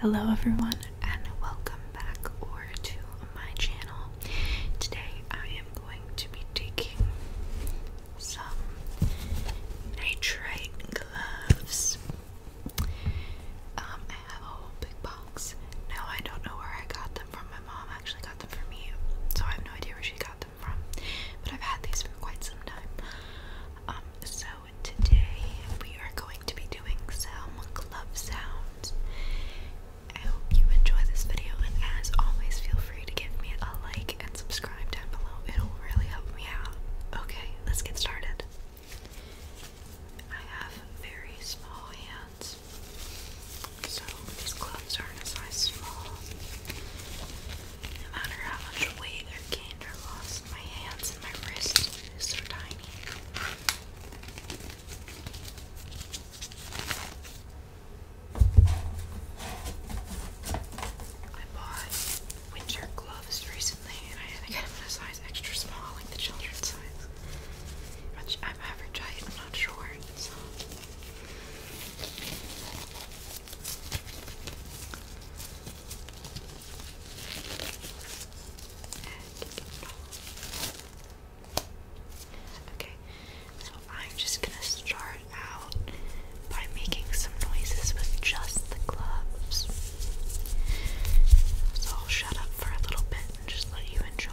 Hello everyone and welcome back or to my channel. Today I am going to be taking some nitrite gloves. Um, I have a whole big box. Now I don't know where I got them from. My mom actually got them for me, so I have no idea where she got them but I've had these for quite some time. Um, so today we are going to be doing some glove sounds. I hope you enjoy this video, and as always, feel free to give me a like and subscribe down below. It'll really help me out. Okay, let's get started. I have very small hands, so these gloves aren't a size small. No matter how much weight I gained or lost, my hands and my wrists are so tiny. I bought winter gloves recently and I had to in a size extra small, like the children's size. I'm average height, I'm not sure. Okay, so I'm just gonna start out by making some noises with just the gloves. So I'll shut up for a little bit and just let you enjoy.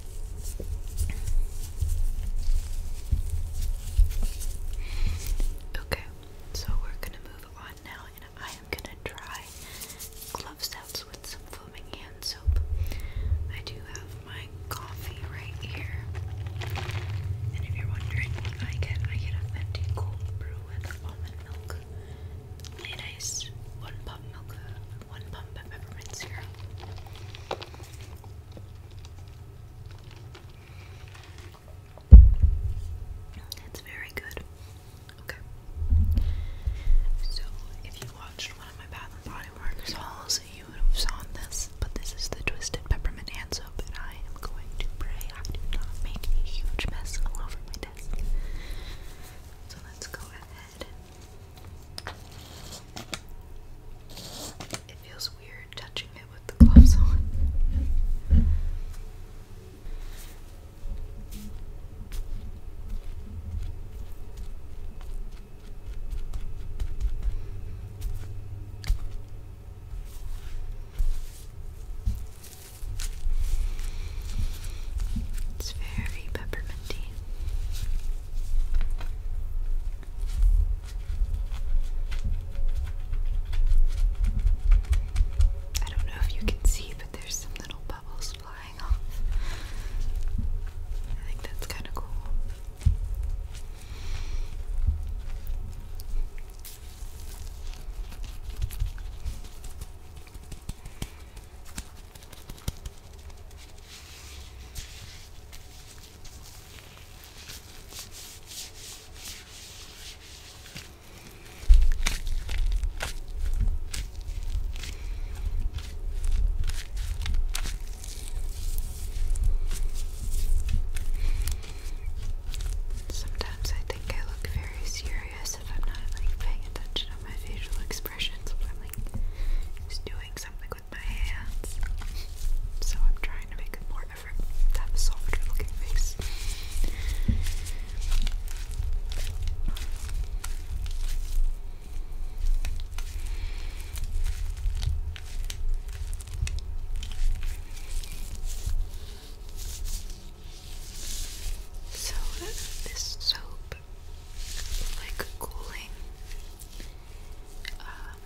Okay, so we're gonna move on now, and I am gonna try gloves sounds with some foaming hand soap. I do have my coffee right here, and if you're wondering I get, I get a Fenty cold brew with almond milk, light ice, one pump milk, one pump of peppermint syrup. It's very good. Okay. So, if you watched one of my Bath and Body Works hauls, you would have saw this, but this is the Twisted Peppermint Hand Soap, and I am going to pray I do not make a huge mess all over my desk. So, let's go ahead. It feels weird touching it with the gloves on. It's very pepperminty. I don't know if you can see, but there's some little bubbles flying off. I think that's kind of cool. Sometimes I think I look very serious if I'm not like paying attention to my facial expressions, but I'm like just doing something. So I'm trying to make more effort to a softer looking face. So this soap like cooling. Um,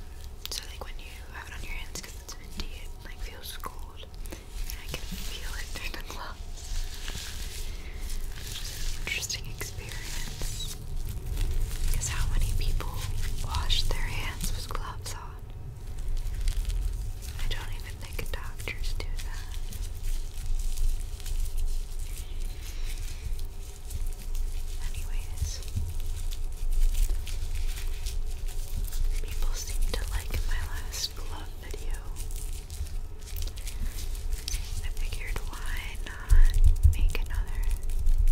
so like when you have it on your hands because it's minty, it like feels cold, I can feel it through the gloves. Which an interesting experience. Because how many people wash their hands with gloves on? I don't even think doctors do that. Anyways, people seem to like my last glove video. I figured why not make another?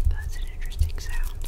That's an interesting sound.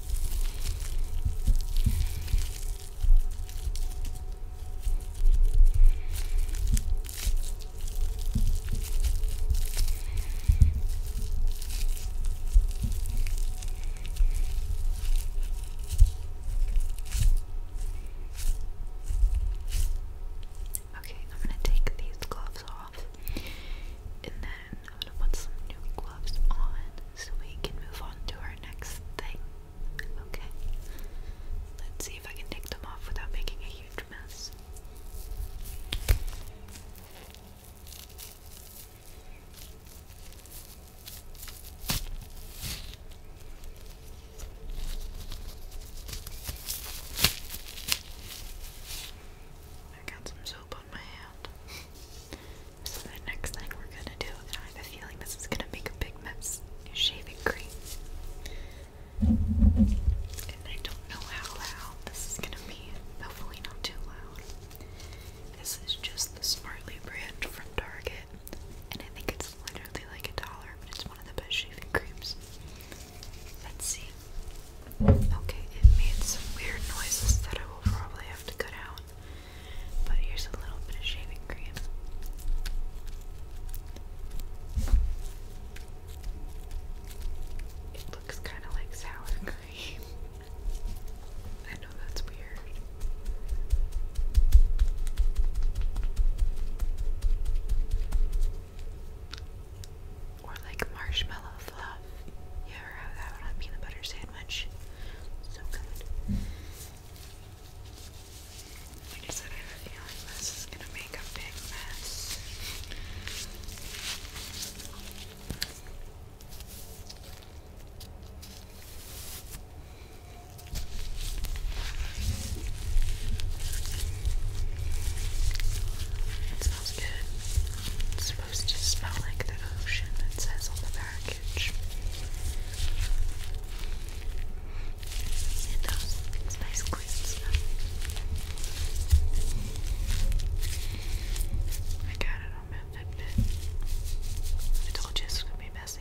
Okay, I'm going to take these gloves off and then I'm gonna put some new gloves on so we can move on to our next thing. Okay? Let's see if I can take them off without making a huge mess. I got some soap on my hand. So the next thing we're gonna do, and I have a feeling this is gonna make a big mess, is shaving cream. And I don't know how loud this is gonna be. Hopefully not too loud. This is just the Smartly brand from Target. And I think it's literally like a dollar, but it's one of the best shaving creams. Let's see. Okay, it made some weird noises that I will probably have to cut out. But here's a little bit of shaving cream. It looks kind of like sour cream. I know that's weird. Or like marshmallow flour stuff. You ever have that on a peanut butter sandwich? So good. this is gonna make a big mess. It smells good. It's supposed to smell like the ocean, it says on the back package. And those nice clean I got it on my admit. I told you it's gonna be messy.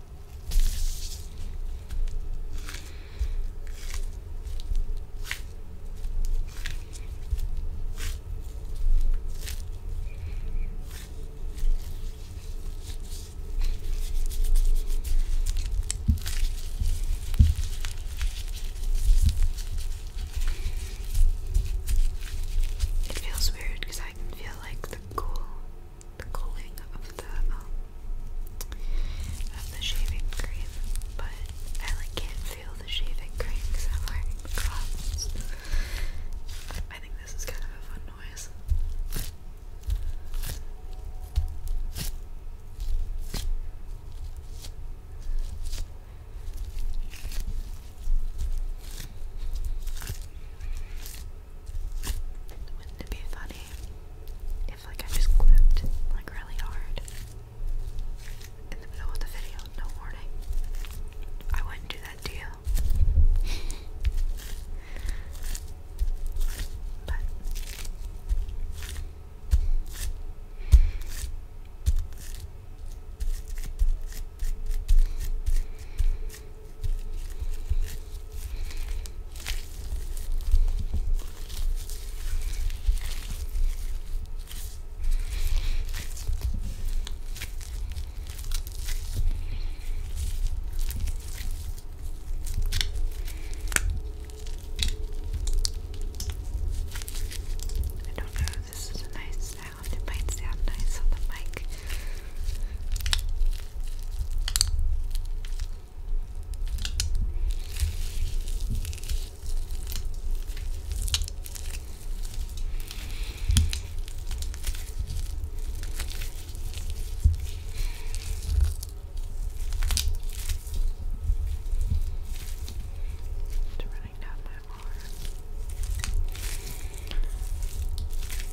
It feels weird because I can feel like the cool the cooling of the um, of the shaving cream, but I like can't feel the shaving cream because I'm wearing gloves. I think this is kind of a fun noise. Wouldn't it be funny if like I just clipped like really hard in the middle of the video, no warning? I wouldn't do that to you. but I don't know, this is a nice sound. It might sound nice on the mic. It's running down my arm.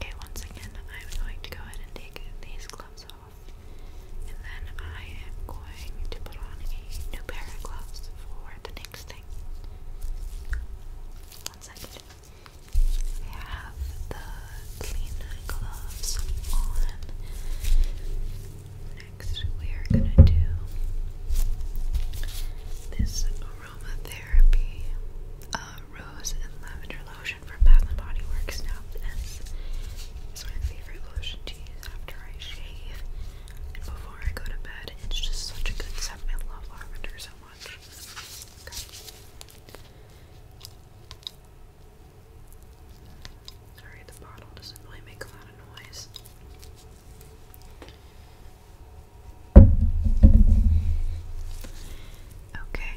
Okay, once again, I'm going to go ahead and take these gloves off off. And then I am going to put on a new pair of gloves for the next thing. One second. I have the clean gloves on. Next, we are going to do this aromatherapy uh, rose and lavender lotion from Bath and Body Works now. This is my favorite lotion to use after I shave and before I go to bed. It's just such a good scent. I love lavender so much. Sorry, the bottle doesn't really make a lot of noise. Okay.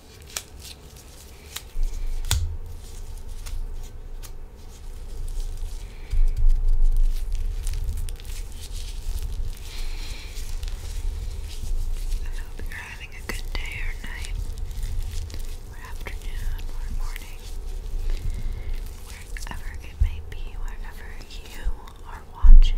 I hope you're having a good day or night, or afternoon, or morning, wherever it may be, wherever you are watching.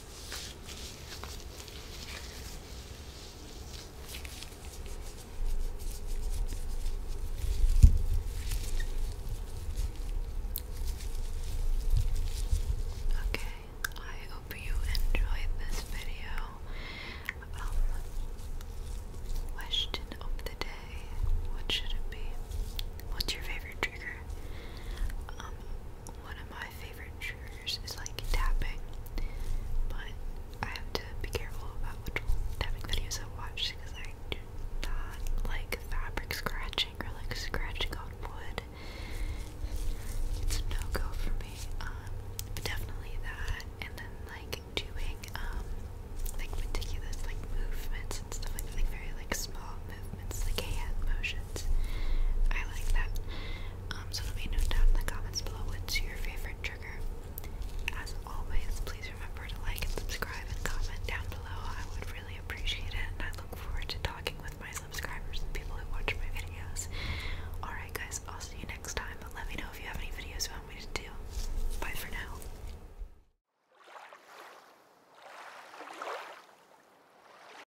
Okay, I hope you enjoyed this video. Um, question of the day: What should it be? What's your favorite trigger? Um, one of my favorite triggers like tapping, but I have to be careful about which tapping videos I watch because I do like fabric scratching or like scratching on wood. It's no go for me. Um, definitely that, and then like doing um like meticulous like movements and stuff like that, very like small movements, like hand motions. I like that. Um, so let me know down in the comments below what's your favorite trigger. As always, please remember to like and subscribe and comment down below. I would really appreciate it, and I look forward to talking with my subscribers and people who watch my videos. Alright, guys, I'll see you next time, let me know if you have any videos you want me to do. Bye for now.